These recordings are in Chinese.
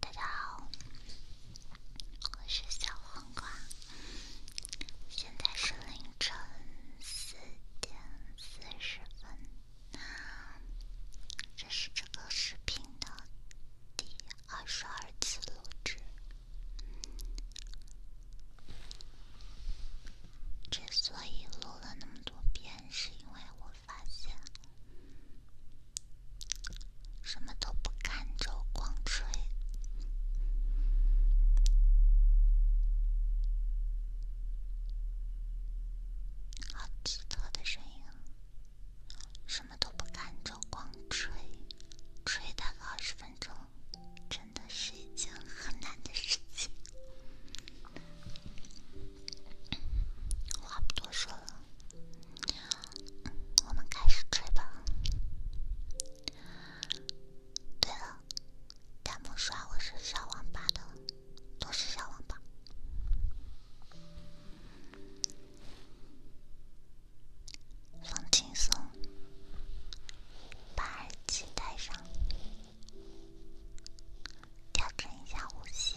大家好，我是小黄瓜，现在是凌晨四点四十分。那这是这个视频的第二十二次录制。之所以录了那么多遍，是因为我。发现什么都不看，就光吹，好奇特的声音！什么都不看，就光吹，吹大概二十分钟，真的是一件很难的事情。话不多说了，我们开始追吧。对了，弹幕刷我是小网吧的，都是小网吧。放轻松，把耳机戴上。调整一下呼吸。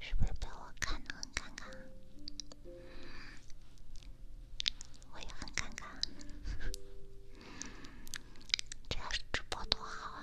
是不是被我看的很尴尬？我也很尴尬。这要是直播多好啊！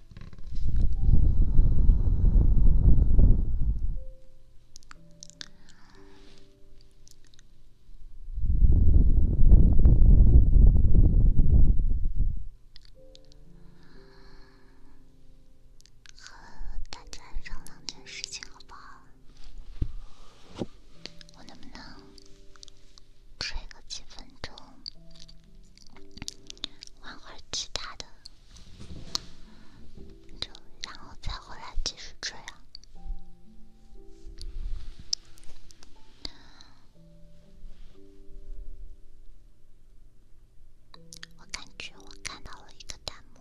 和大家商量件事情，好不好？我能不能吹个几分钟？玩会儿其他的，就然后再回来继续追啊！我感觉我看到了一个弹幕，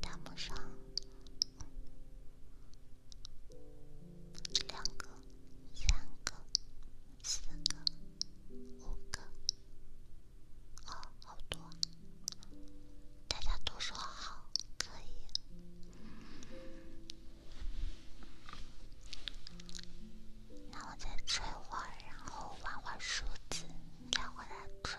弹幕上两个、三个。四个，五个，哦，好多！大家都说好，可以。那我再吹会儿，然后玩会儿梳子，再回来吹。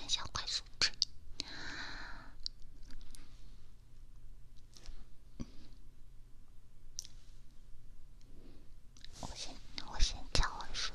按下快速键。我先，我我叔叔。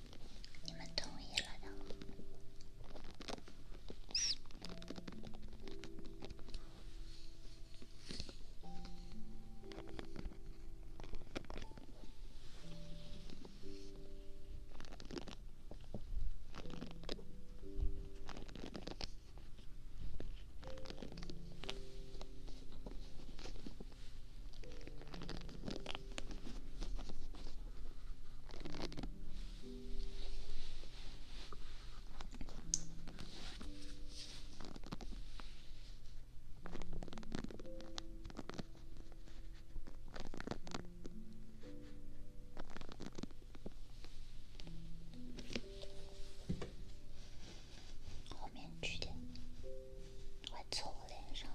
你们同意了的。后面几点？快蹭我脸上！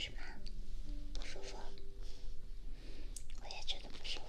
是吗？舒服？我也觉得不舒服。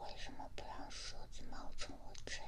为什么不让蛇子冒充我姐？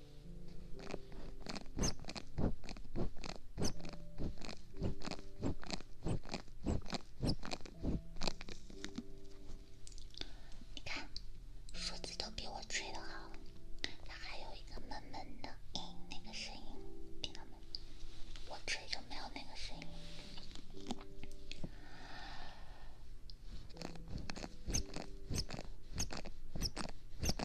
你看，数字都比我吹的好。它还有一个闷闷的，那个声音，听到没？我吹就没有那个声音。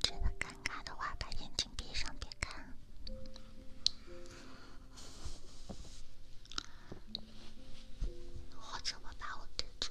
觉得尴尬的话，把眼睛闭上，别看。我怎么把我遮住。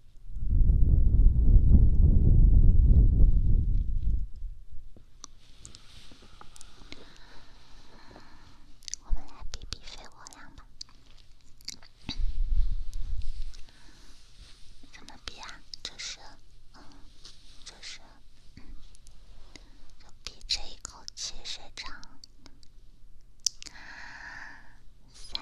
我们来比比肺活量吧。怎么比啊？就是，嗯，就是，就比这一口气谁长。三。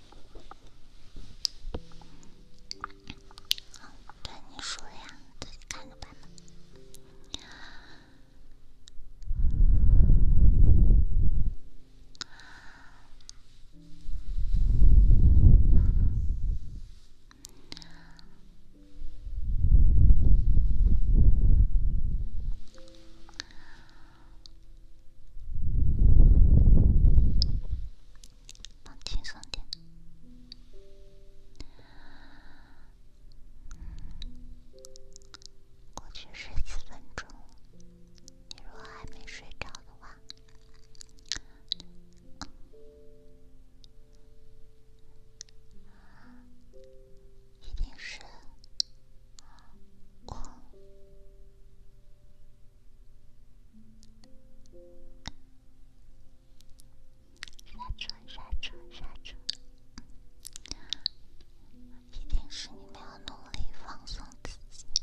对，你说呀，自己看着办吧。放轻松点，过去十几分钟，你若还没睡着的话，一定是我。刹车！刹车！刹车！一定是你没有努力放松自己。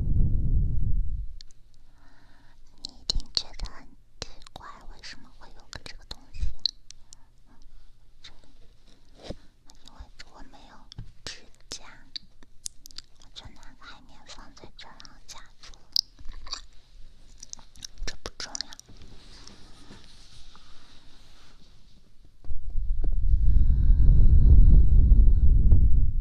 你一定觉得很奇怪，为什么会有这个东西？因为我没有指甲，我就拿海绵放在这儿，然后夹住了。这不重要。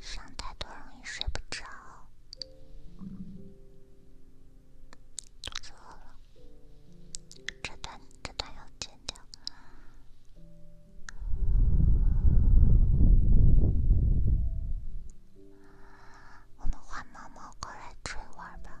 想太多容易睡不着，肚子饿了，这段这段要剪掉。我们换猫猫过来追玩吧。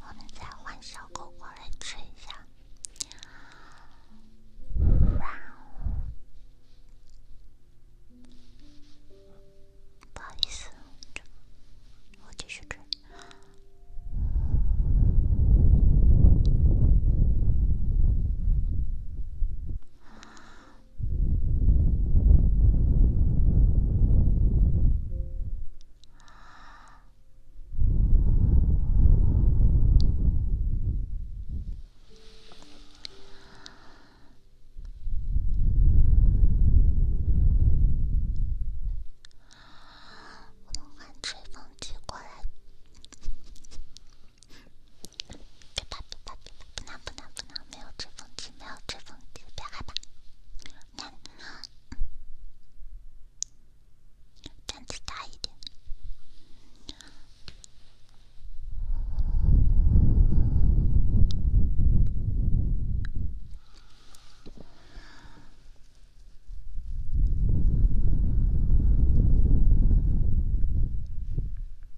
我们再换小狗过来吃一下。不好意思，我继续吃。我们换吹风机过来。别怕，别怕，别怕，不冷，不冷，不冷，没有吹风机，没有吹风机，别害怕。嗯嗯，胆子大一点。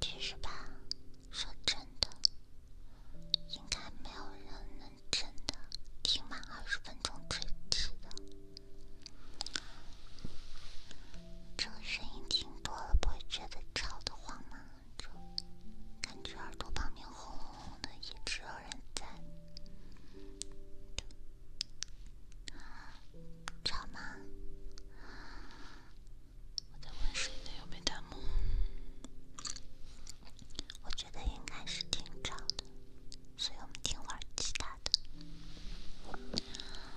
其实吧，说真的，应该没有人能真的听完二十分钟之久的。这个声音听多了不会觉得吵得慌吗？就感觉耳朵旁边轰隆隆的，一直有人在，是挺吵的，所以我们听会儿其他的。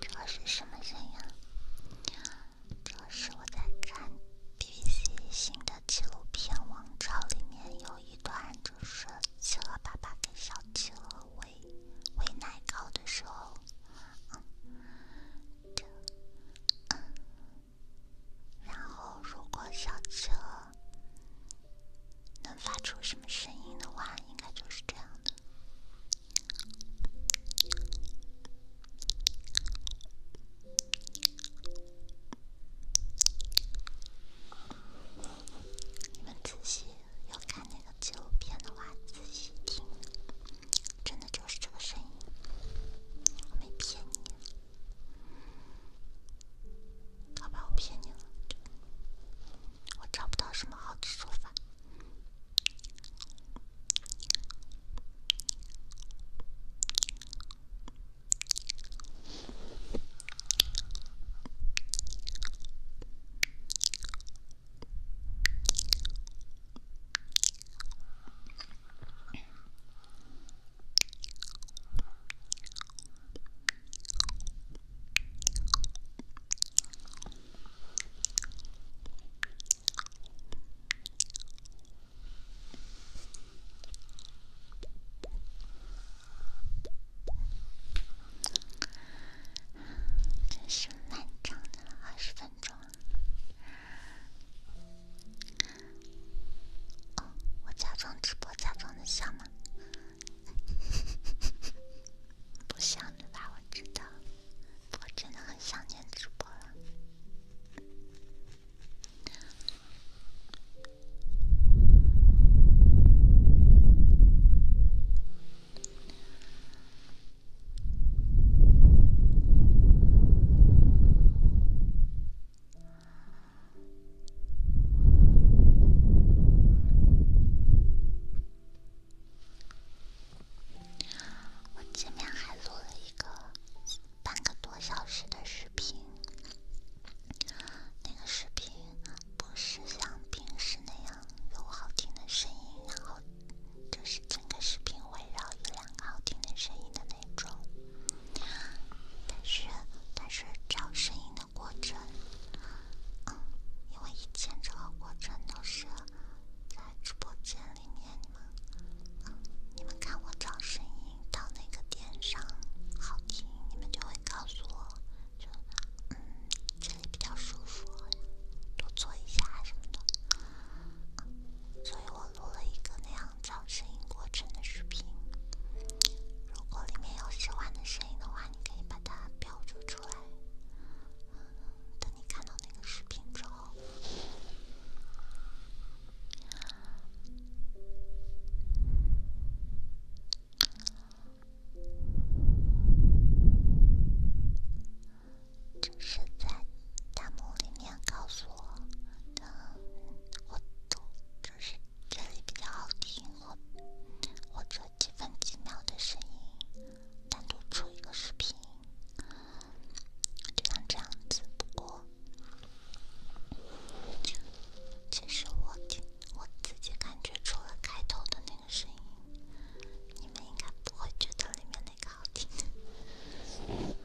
这是什么声音？这是我在看 BBC 新的纪录片《王朝》里面有一段，就是企鹅爸爸给小企鹅喂奶糕的时候。这，然后如果小企鹅。能发出什么声音的话，应该就是这样的。你们仔细，要看那个纪录片的话，仔细听，真的就是这个声音，我没骗你。好吧，我骗你了，我找不到什么好的说法。真是漫长的二十分钟。哦，我假装直播，假装的像吗？不像对吧？我知道，我真的很想念主播了。我前面还录了一个半个多小时的视频，那个视频不是像平时那样有好听的声音，然后就是整个视频围绕一两个好听的声音的那种。但是，但是找声音的过程，嗯，因为以前这个过程都是在直播间里面，你们，你们看我找声音，到哪个点上好听，你们就会告诉我，就嗯，这里比较舒服，多做一下什么的，所以我录了一个那样。找声音过程的视频，如果里面有喜欢的声音的话，你可以把它标注出来。等你看到那个视频之后，只是在弹幕里面告诉我，我都看。是这里比较好听，或或者几分几秒的声音，单独出一个视频，就像这样子。不过，其实我听我自己感觉，除了开头的那个声音，你们应该不会觉得里面那个好听。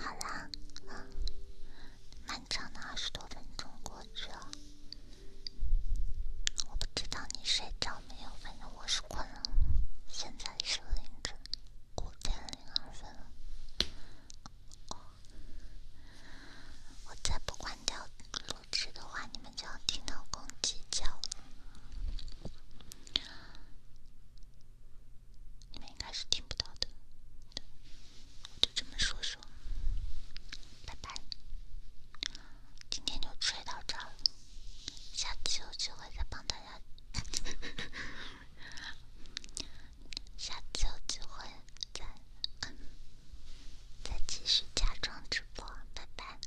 好啦，漫长的二十多分钟过去了，我不知道你睡觉没有，反正我是困了。现在是凌晨五点零二分了，我再不关掉录制的话，你们就要听到公鸡叫。你们应该是听不到的，我就这么说说，拜拜。今天就吹到这了，下次有机会再帮大家。下次有机会再嗯再继续假装直播，拜拜。